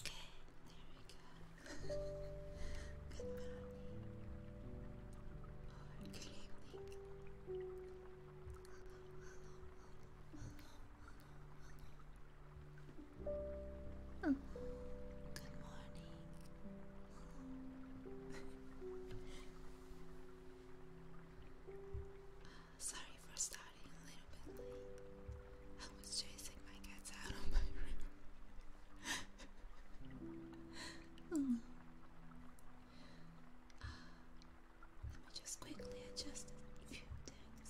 Okay, there we go. good morning good evening. hello, hello, hello. Good morning. Sorry for starting a little bit late. I was chasing my cats out of my room. oh. just quickly adjust a few things.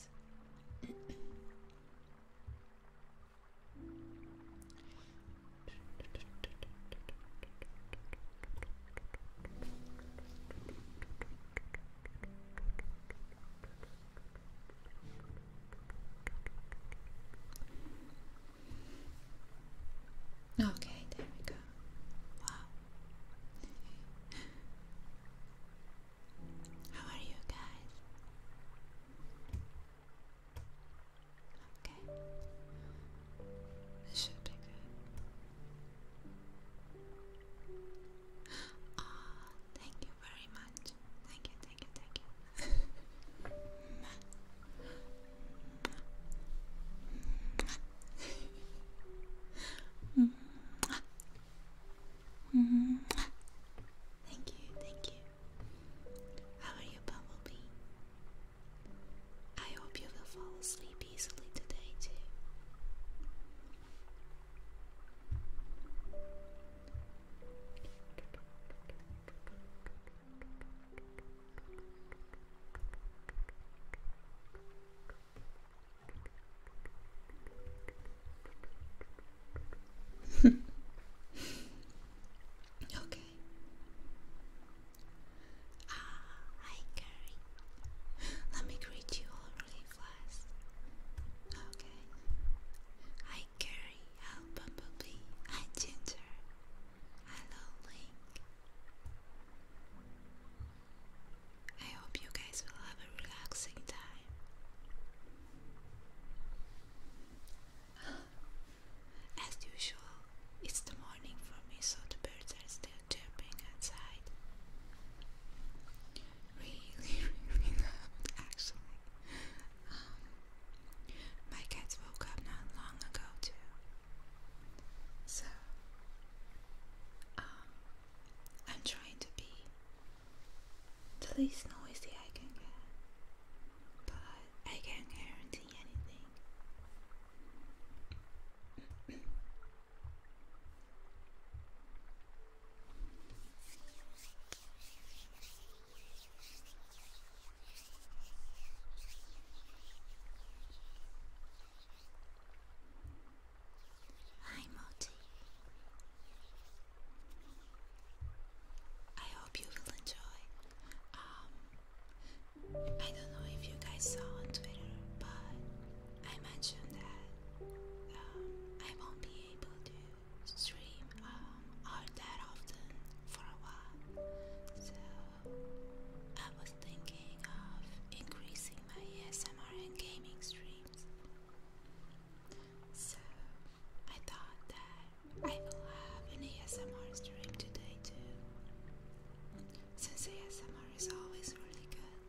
Okay, there we go. Wow. How are you guys? Okay. This should be good. oh, thank you very much. Thank you, thank you, thank you. Mm Thank you, thank you. How are you, Bumblebee? I hope you will fall asleep easily today, too. okay. Ah, hi, Carrie. Let me greet you all really fast. Okay. Hi, Carrie. Hello, Bumblebee. Hi, Ginger. Hello, Link. I hope you guys will have a relaxing time. As usual, it's the morning for me, so the birds are still chirping outside. Really, really loud, actually. Um, my cats woke up not long ago, too. So, um, I'm trying to be the least noisy I can get, but I can't guarantee anything. Hi, Moti. I hope you will enjoy. Um, I don't know if you guys saw on Twitter, but I mentioned that um, I won't be able to stream um, that often for a while. So I was thinking of increasing my ASMR and gaming streams. So I thought that I will have an ASMR stream today too. Since ASMR is always really good.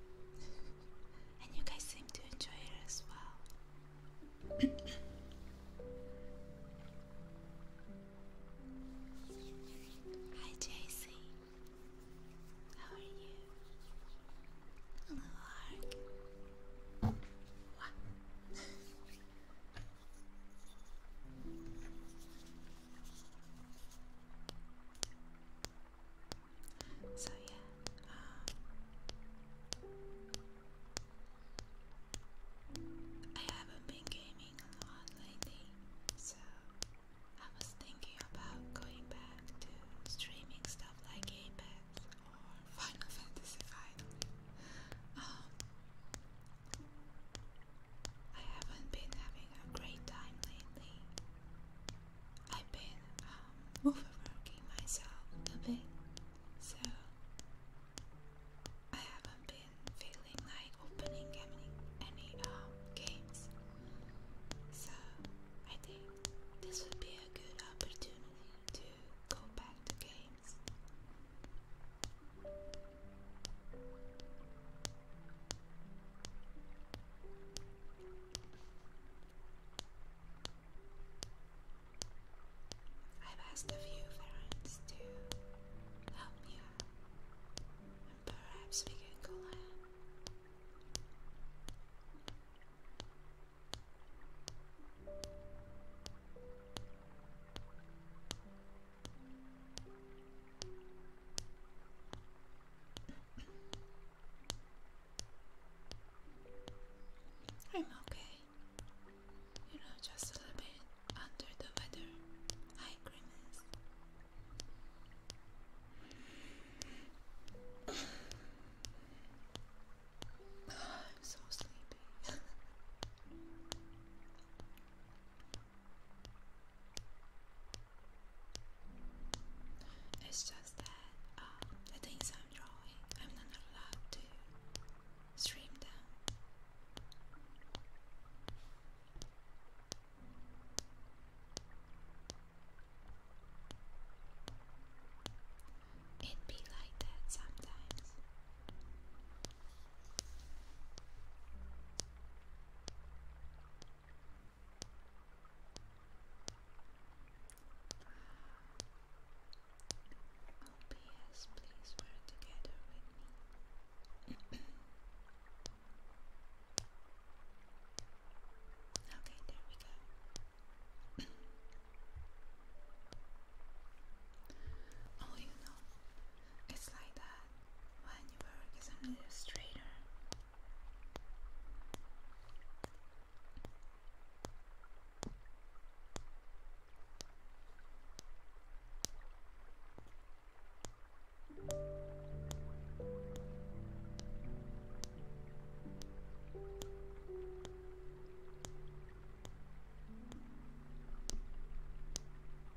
and you guys seem to enjoy it as well. Hi JC. How are you? so yeah, um, I haven't been gaming a lot lately, so I was thinking about going back to streaming stuff like Apex Final Fantasy Finally. Um, I haven't been having a great time lately. I've been um, overworking myself a bit, so I haven't been feeling like opening any, any um, games. So I think this would be a good opportunity to go back to games. I've asked a few friends to help me and perhaps we can collab. I'm okay. You know, just a little bit under the weather. Hi, Grimace. I'm so sleepy. it's just that uh, the I'm drawing, I'm not allowed to stream them. It be like that sometimes. OPS, please work together with me. okay, there we go. Oh, you know, it's like that when you work as an illustrator.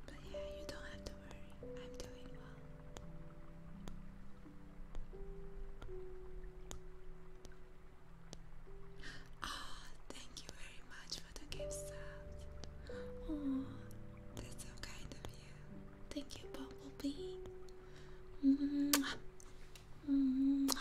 But yeah, you don't have to worry. I'm doing well. Ah, thank you very much for the gift Oh, that's so kind of you. Thank you, Bumblebee. Mwah. Mwah.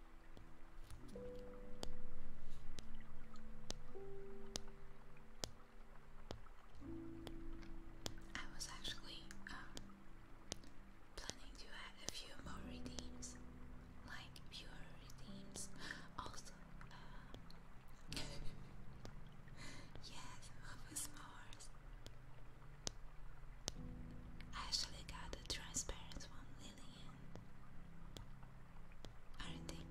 I was actually um, planning to add a few more redeems, like pure redeems. Also, uh, yes, movie s'mores. I actually got a transparent one, Lillian. Aren't they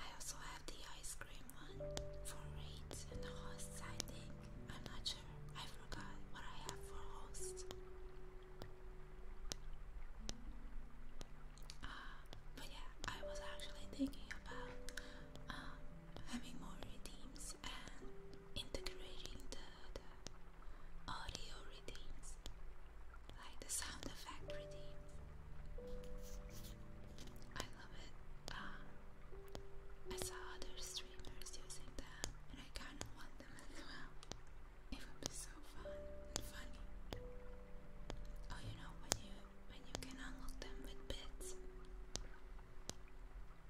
I also have the ice cream one for raids and hosts, I think. I'm not sure. I forgot what I have for hosts. Uh, but yeah, I was actually thinking about um, having more redeems and integrating the, audio readings, like the sound effect readings. I love it. Uh, I saw other streamers using them, and I kind of want them as well. It would be so fun and funny. Oh, you know when you when you can unlock them with bits.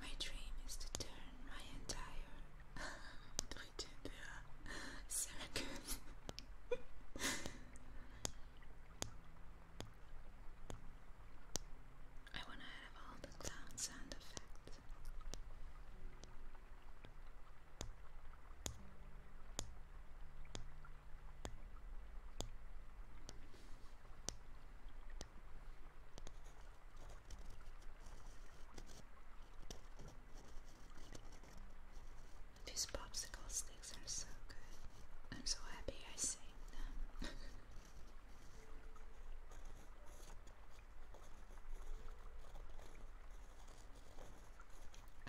My dream is to turn my entire circus I wanna have all the clown sound effects. These popsicle sticks are so good. I'm so happy I saved them.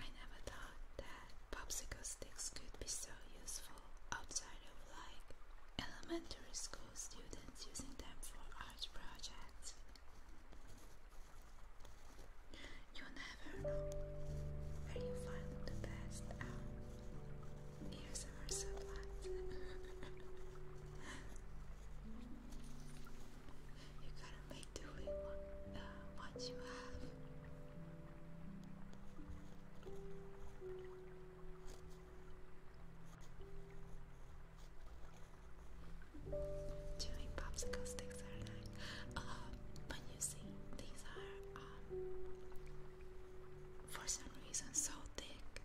I never thought that popsicle sticks could be so useful outside of like elementary school students using them for art projects. You never know where you find the best Here's our supplies. you gotta make do with what, uh, what you have. Chewing popsicle sticks are nice. Uh, but you see, these are, um, for some reason, so thick.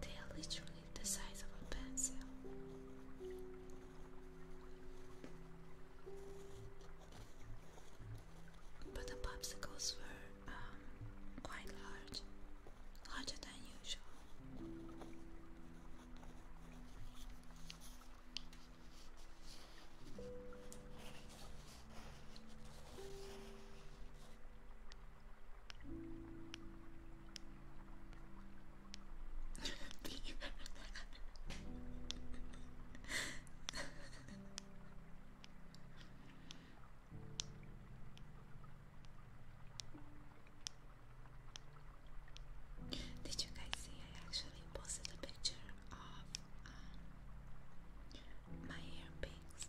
They are literally the size of a pencil. But the popsicles were um, quite large, larger than usual. Did you guys see? I actually posted a picture of um, my hair pigs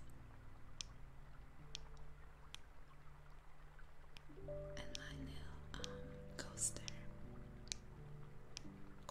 and my little um, coaster.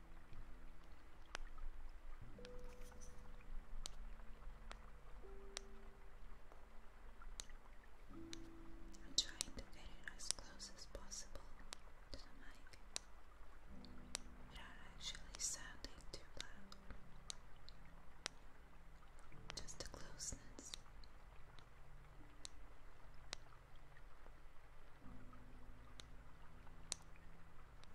I'm trying to get it as close as possible to the mic without actually sounding too loud. Just the closeness.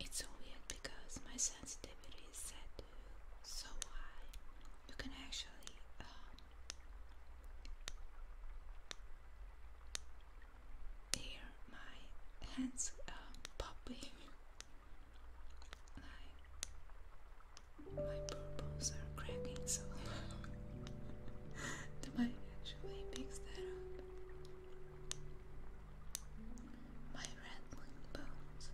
It's weird because my sensitivity is set to so high, you can actually um, hear my hands um, popping. my purples are cracking so loud. Do I actually picks that up. My rattling bones.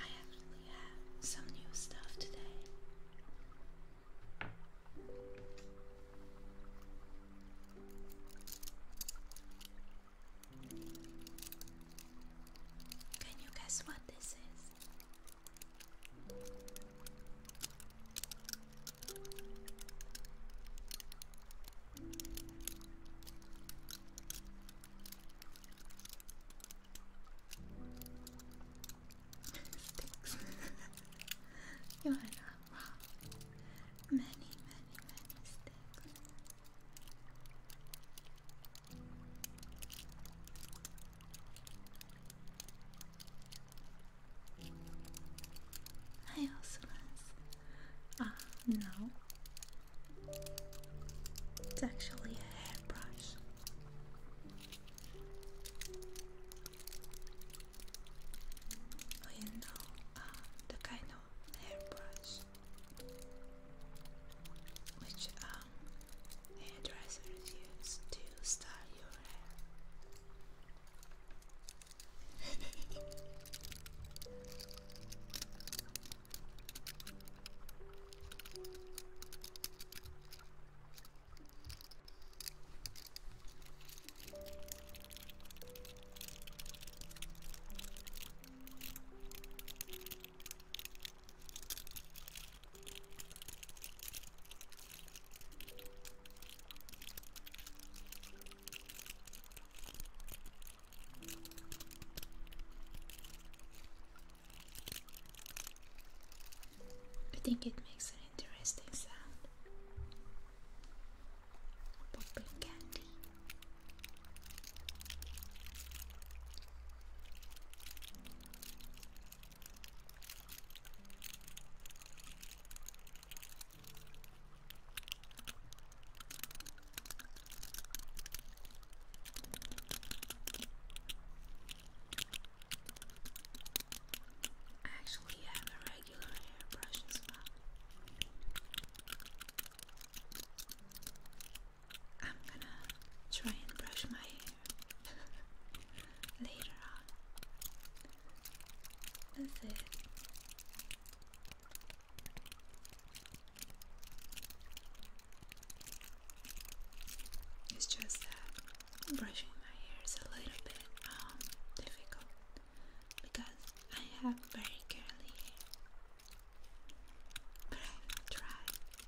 I actually have some new stuff today. Can you guess what this is? Sticks. you are not wrong. Many, many, many sticks. Hi, Osiris. Ah, uh, no. It's actually a hairbrush. Oh, you know, um, the kind of hairbrush which um, hairdressers use to style your hair. I think it makes an interesting sound. Popping candy. I actually have a regular hairbrush as well. I'm gonna try and brush my hair later on. That's it. It's just that brushing my hair is a little bit um, difficult because I have very curly hair, but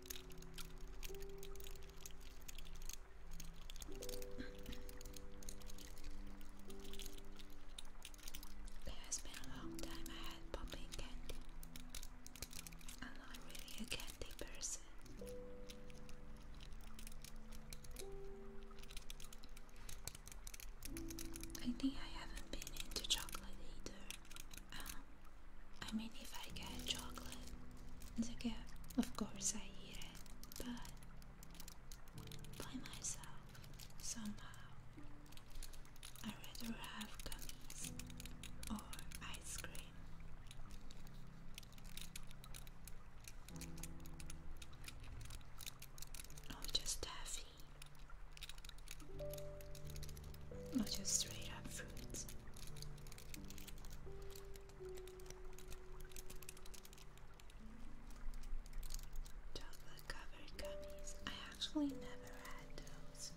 It has been a long time I had popping candy. I'm not really a candy person. I think I haven't been into chocolate either. Um, I mean, if I get chocolate as a gift, of course I eat it, but by myself, somehow, i rather have gummies or ice cream. Or just taffy. Not just straight up fruits. Chocolate covered gummies. I actually never had those.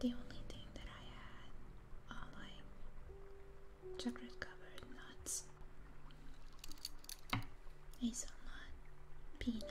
The only thing that I had, all uh, I chocolate covered nuts, hazelnut, peanut.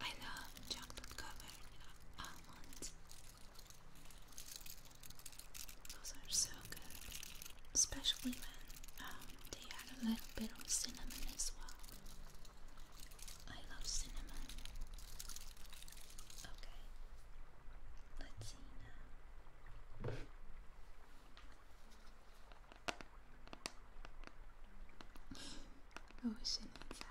I love chocolate covered almonds. Those are so good, especially when um, they add a little bit of cinnamon as well. I love cinnamon. Okay, let's see now. Ocean oh, inside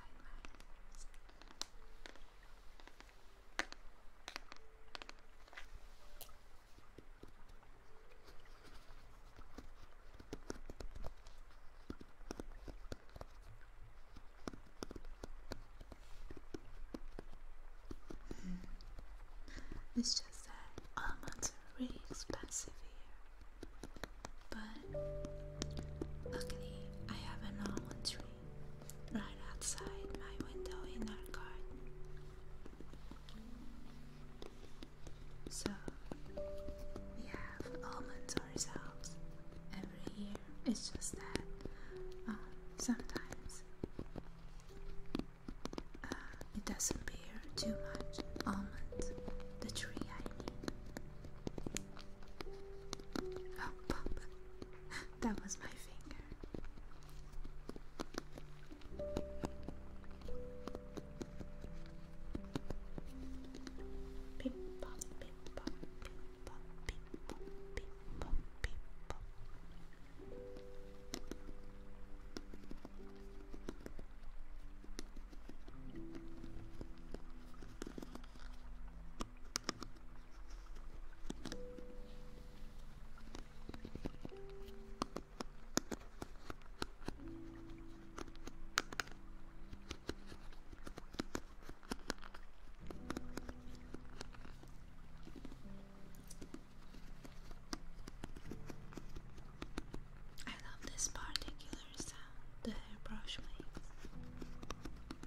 it's just that almonds are really expensive here but luckily I have an almond tree right outside my window in our garden. So we have almonds ourselves every year. It's just that um, sometimes uh, it doesn't bear too much almonds, the tree I mean. Oh, pop. That was my finger. Beep, pop, beep, pop, beep, pop, beep, pop, beep, pop, beep, pop. I love this particular sound the hairbrush makes.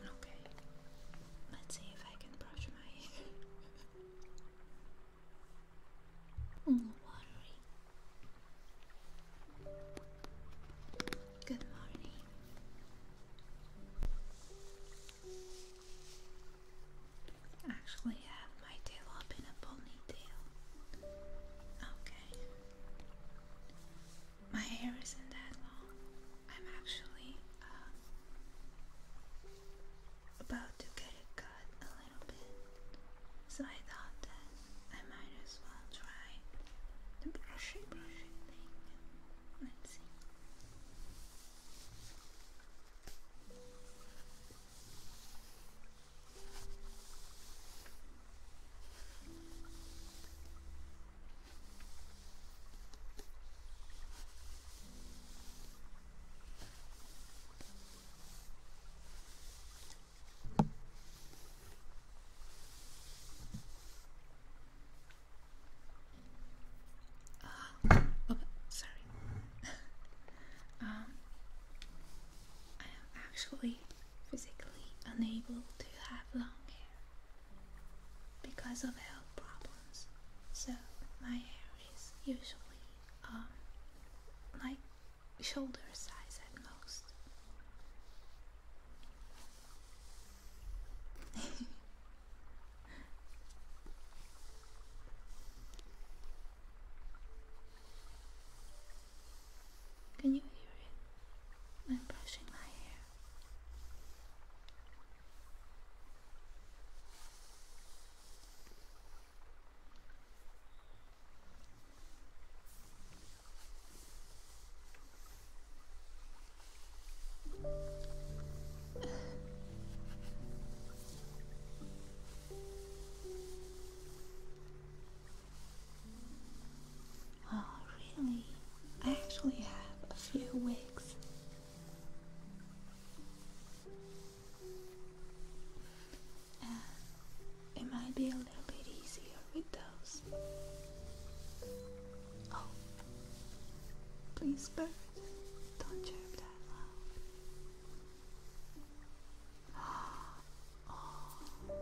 Okay, let's see if I can brush my mm, Good morning. Actually, have my tail up in a ponytail. Okay. My hair isn't that long. I'm actually um, about to get it cut a little bit, so I thought that I might as well try the brushing brushing thing. Let's see oh, sorry. um, I am actually physically unable to have long hair because of health problems. So my hair is usually um, like shoulder size at most. Can you hear it? I'm brushing my hair. Oh, really? I actually have a few wigs uh, it might be a little bit easier with those. Oh, please, bird, don't chirp that loud. Oh.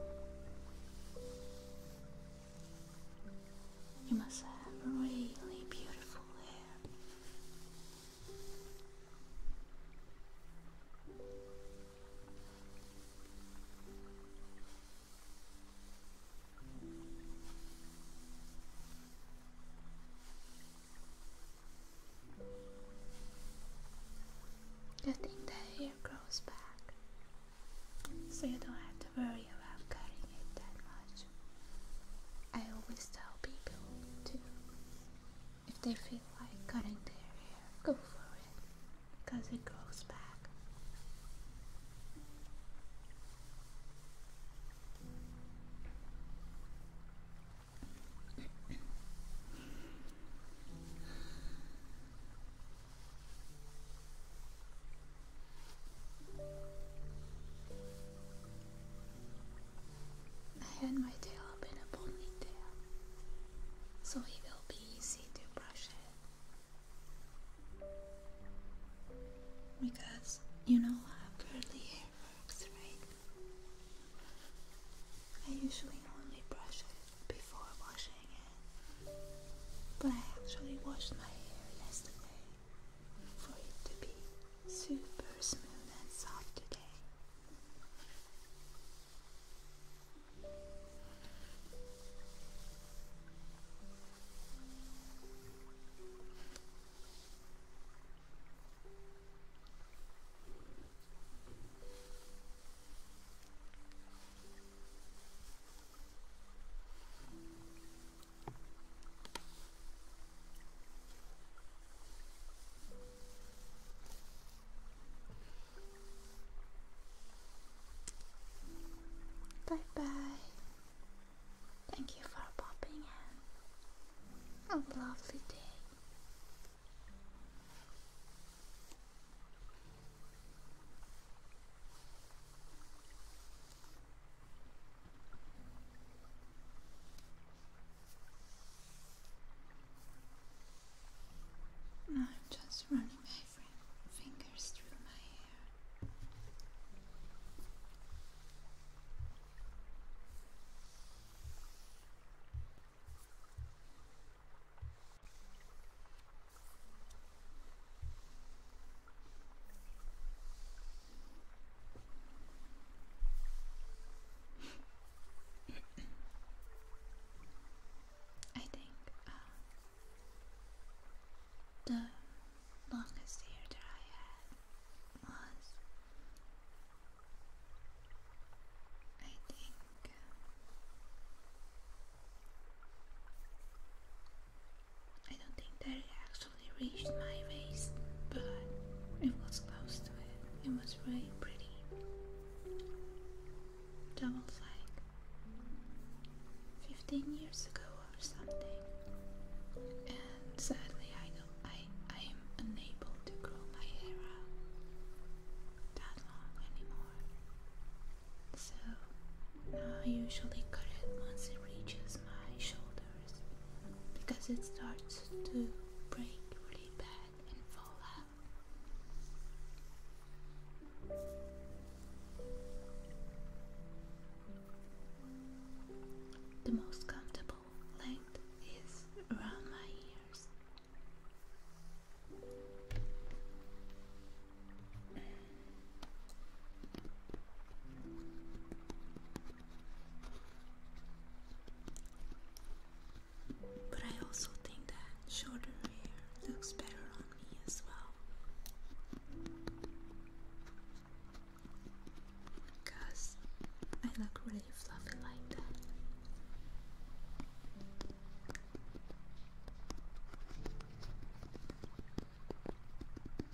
You must have really beautiful Good thing that hair grows back, so you don't have to worry about cutting it that much. I always tell people to, if they feel like cutting their hair, go for it because it grows back. I had my tail up in a ponytail, so it will be easy to brush it. Because you know how curly hair works, right? I usually only brush it before washing it, but I actually washed my hair yesterday for it to be super smooth and soft today. Bye bye. Thank you for popping in. A lovely day. I'm just running my fingers through my hair. I think uh, the longest year that I had was, I think, I don't think that it actually reached my face, but it was close to it. It was really pretty. That was 15 years ago or something. And sadly, I I I am unable to grow my hair out that long anymore. So now I usually cut it once it reaches my shoulder because it starts to break really bad and fall out. The most comfortable length is around my ears. But I also think that shorter hair looks better on me as well. Because I look really fluffy like that.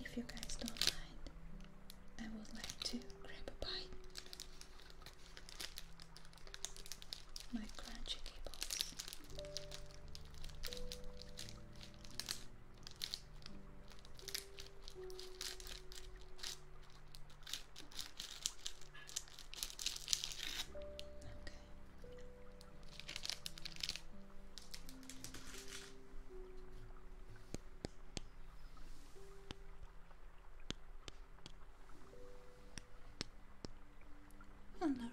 If you guys don't mind, I would like to grab a bite. My crunchy cables. Okay. On the right.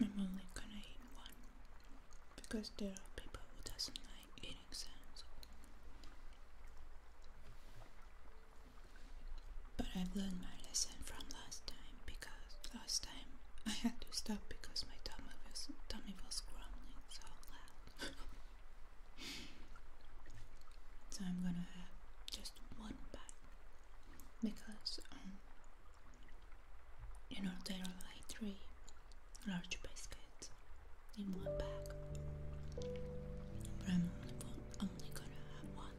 I'm only gonna eat one because there are people who doesn't like eating sounds. But I've learned my lesson from last time because last time I had to stop because my tummy was tummy was grumbling so loud so I'm gonna have just one bag because um you know there are like three large biscuits in one bag I'm only gonna have one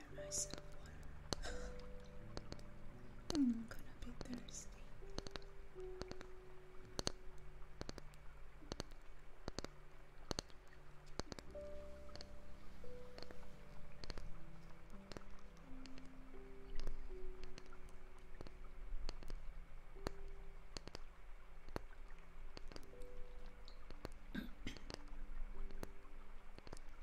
I'm gonna be thirsty.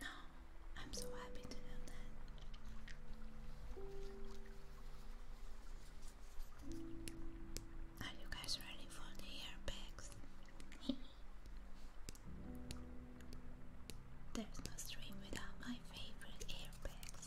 No, I'm so happy to know that. Are you guys ready for the airbags? There's no stream without my favorite airbags.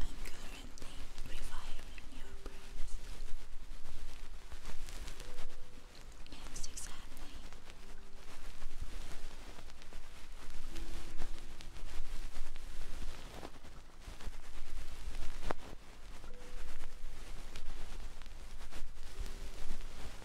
I'm currently rewiring your brains. Yes, exactly.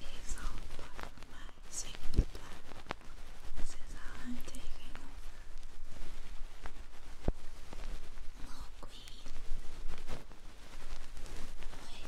It's all part of my secret plan. This is how I'm taking over. Look, Queen.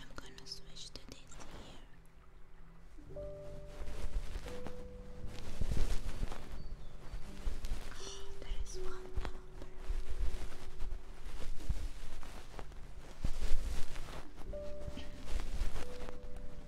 I'm gonna switch to this here. Oh, there is one number.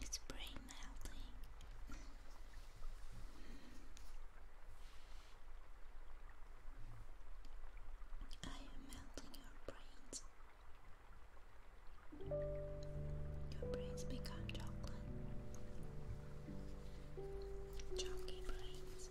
It's brain melting. I am melting your brains. Your brains become chocolate. Chalky brains.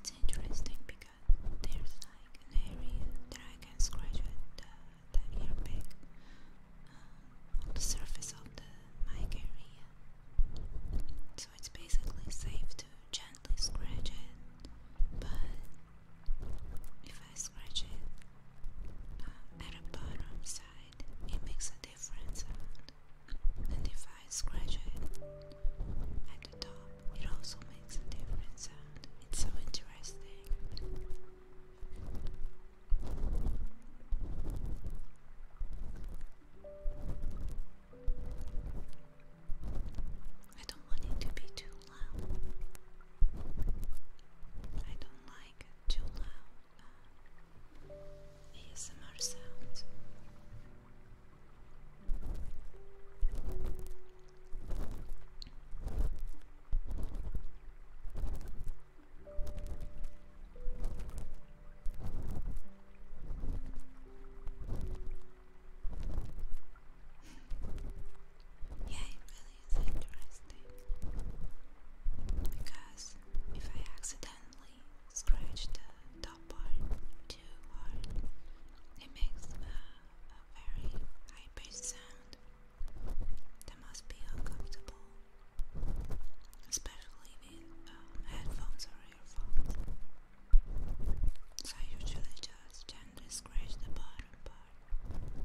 It's interesting because there's like an area that I can scratch with the, the on the surface of the mic So it's basically safe to gently scratch it, but if I scratch it um, at the bottom side, it makes a different And if I scratch it at the top, it also makes a different It's so interesting. I don't want it to be too loud. I don't like too loud uh, ASMR sounds. Yeah, it really is interesting because if I accidentally scratch the top part too hard, it makes a, very high pitched sound that must be uncomfortable especially with um, headphones or earphones. So I usually just gently scratch the bottom part.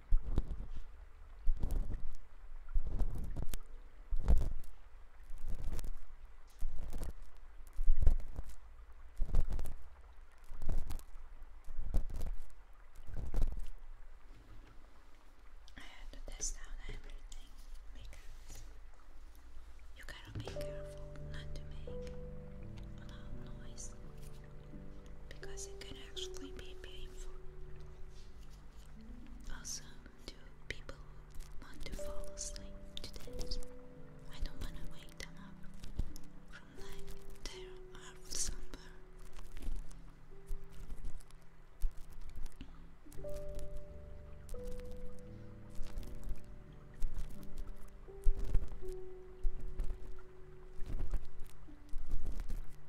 I to test out everything because you gotta be careful not to make a loud noise because it can actually be painful. Also, do people want to fall asleep today? I don't want to wake them up from like their half slumber.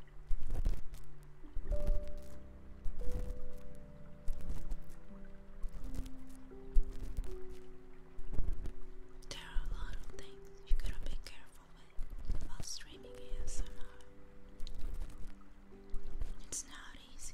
There are a lot of things you gotta be careful with while streaming ASMR. It's not easy.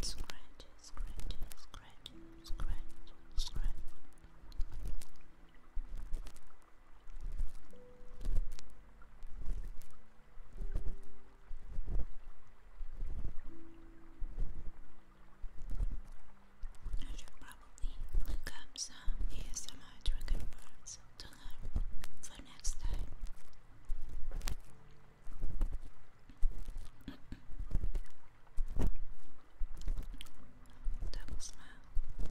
Scratch, scratch, scratch, scratch, scratch. I should probably look up some ASMR trigger words to learn for next time. Double smile. Good.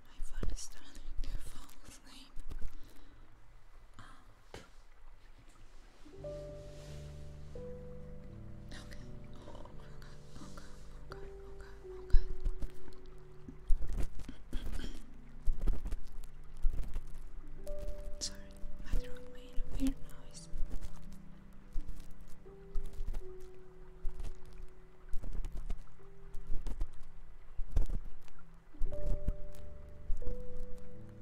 my phone is starting to fall asleep. Um. Okay. Oh, oh god, oh Sorry, my throat made a weird noise.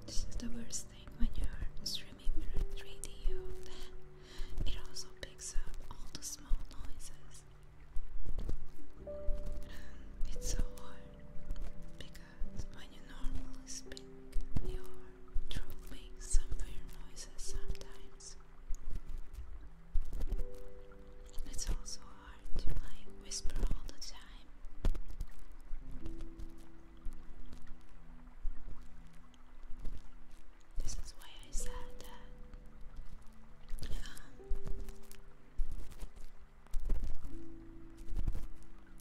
This is the worst thing when you're streaming in 3D. It also picks up all the small noises. And it's so hard because when you normally speak, your throat makes some weird noises sometimes. It's also hard to like whisper all the time. This is why I said that.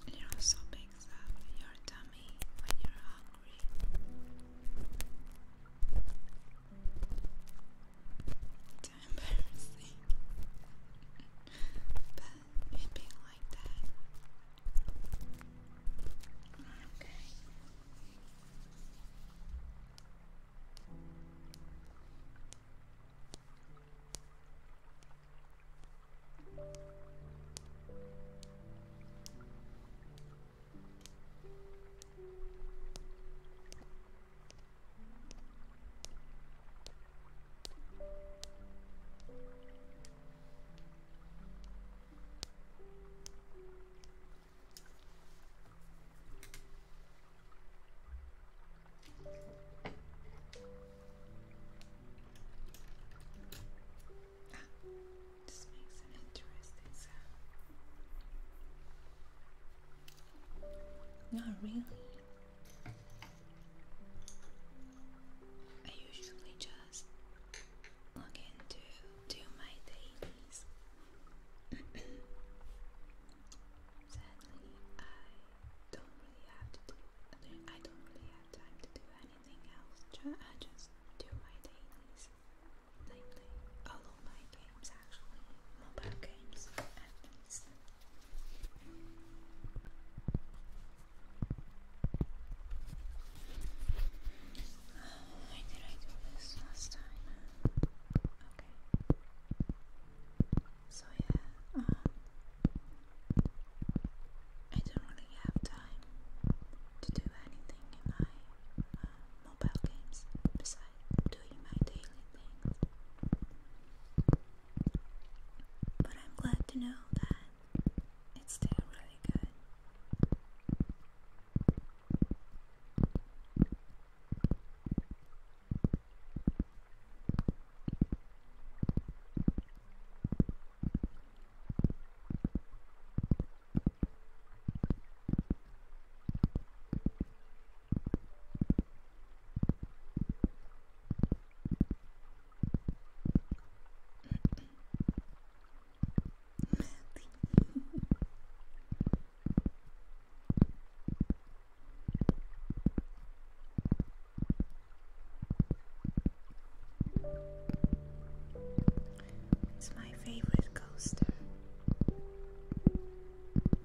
it also picks up your tummy when you're hungry. It's embarrassing. but it be like that. Okay. Ah, this makes an interesting sound. Not really. I usually just log into do my dailies. Sadly, I don't really have to do. I don't really have time to do anything else. I just do my dailies all of my games actually, mobile games I do not really have time to do anything in my mobile games besides I'm doing my daily things. But I'm glad to know that it's still really good. It's my favorite coaster.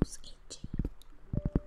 Nose itchy. Nose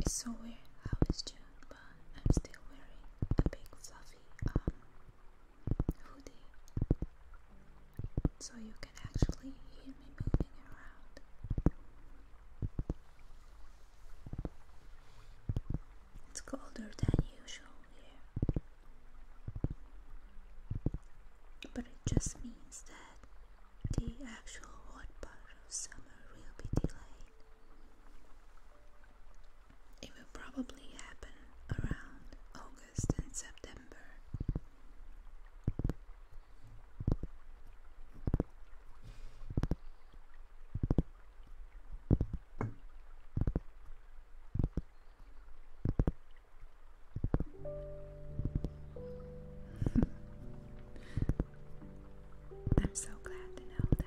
It's so weird how it's June, but I'm still wearing a big fluffy um, hoodie, so you can actually hear me moving around. It's colder than usual here, but it just means that the actual hot part of summer will be delayed. It will probably happen around August and September. I'm so glad to know that.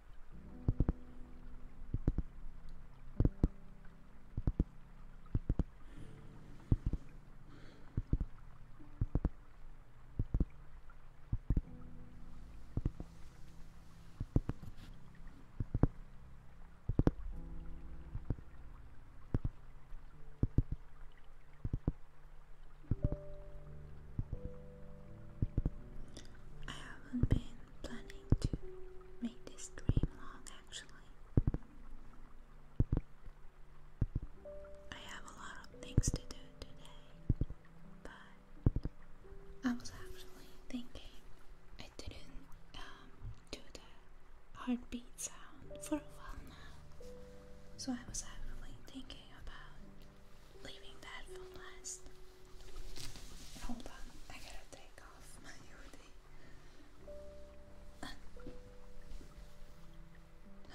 I haven't been planning to make this dream long actually. I have a lot of things to do today, but I was actually thinking I didn't um, do the heartbeat sound for a while now, so I was actually thinking about leaving that for last. Hold on, I gotta take off my hoodie.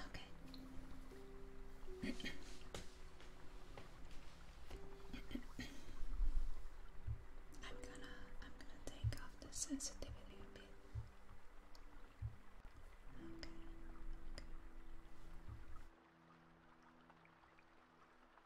Okay. I'm gonna I'm gonna take off the sensitivity a bit. okay.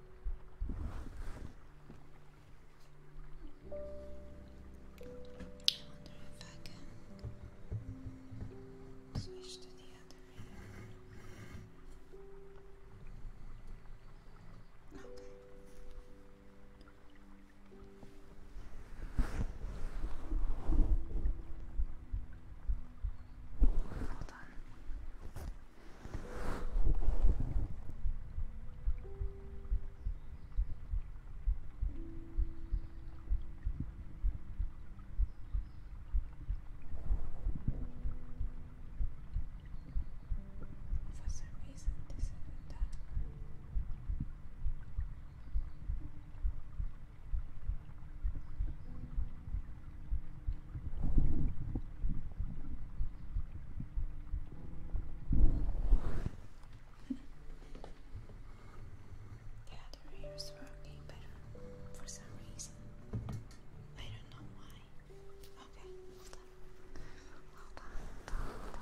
if I can switch to the other Okay. Hold on. For some reason, this isn't done. The other ears were okay better for some reason. I don't know why. Okay, hold on. Hold on, hold on. Hold on.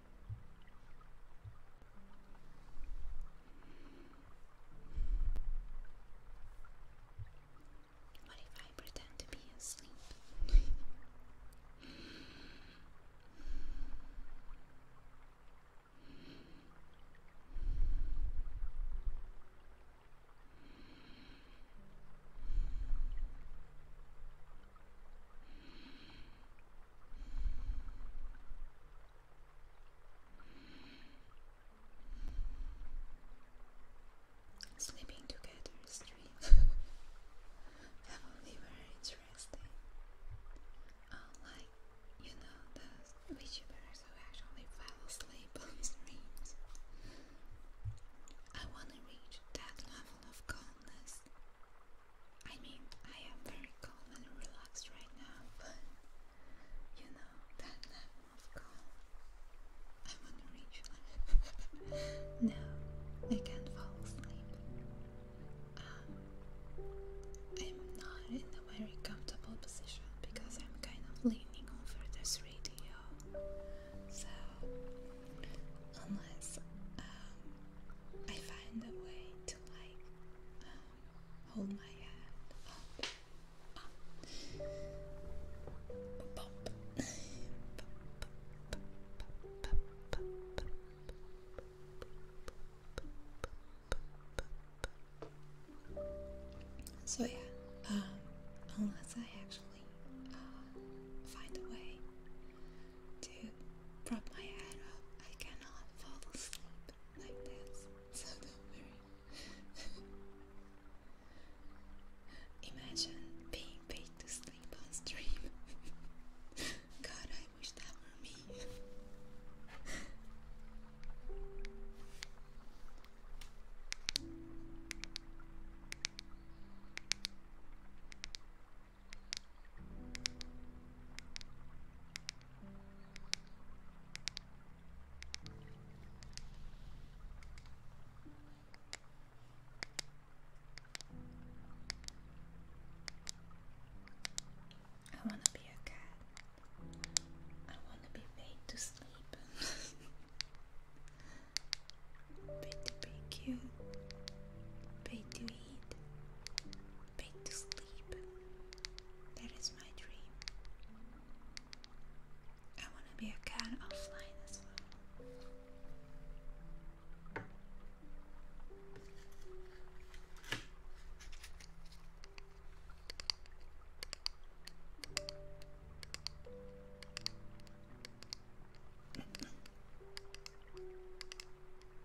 What if I pretend to be asleep? Sleeping together is dream. Family very interesting. Unlike, you know, those VTubers who actually fell asleep on streams. I wanna reach that level of calmness. I mean, I am very calm and relaxed right now, but you know, that level of calm, I want to reach no, I can't fall asleep. Um, I'm not in a very comfortable position because I'm kind of leaning over this radio. So, unless um, I find a way to like hold my hand up, so yeah, um, unless I actually uh, find a way to prop my head up. I cannot fall asleep like this, so don't worry. Imagine being paid to sleep on stream. God, I wish that were me. I want to be a cat. I want to be made to sleep. Pretty, pretty cute paid to eat, paid to sleep. That is my dream. I want to be a cat offline as well.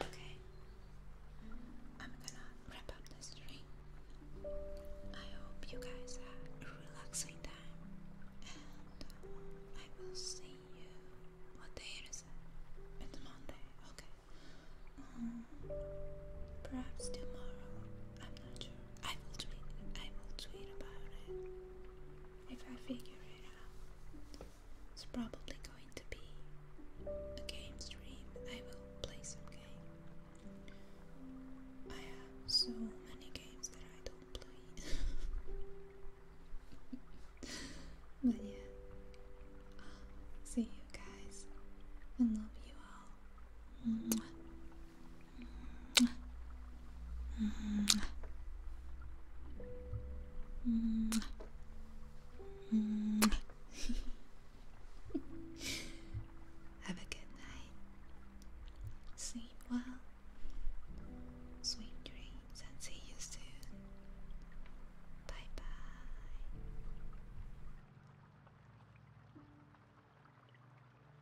Okay, I'm gonna wrap up the stream. I hope you guys had a relaxing time, and I will see you. What day is it? It's Monday. Okay. Mm, perhaps tomorrow. I'm not sure. I will tweet. I will tweet about it if I figure it out. It's probably going to be a game stream. I will play some game. I have so many games that I don't play. but yeah. see you guys. I love you all. Mwah. Have a good night. Sleep well. Sweet dreams and see you soon. Bye bye.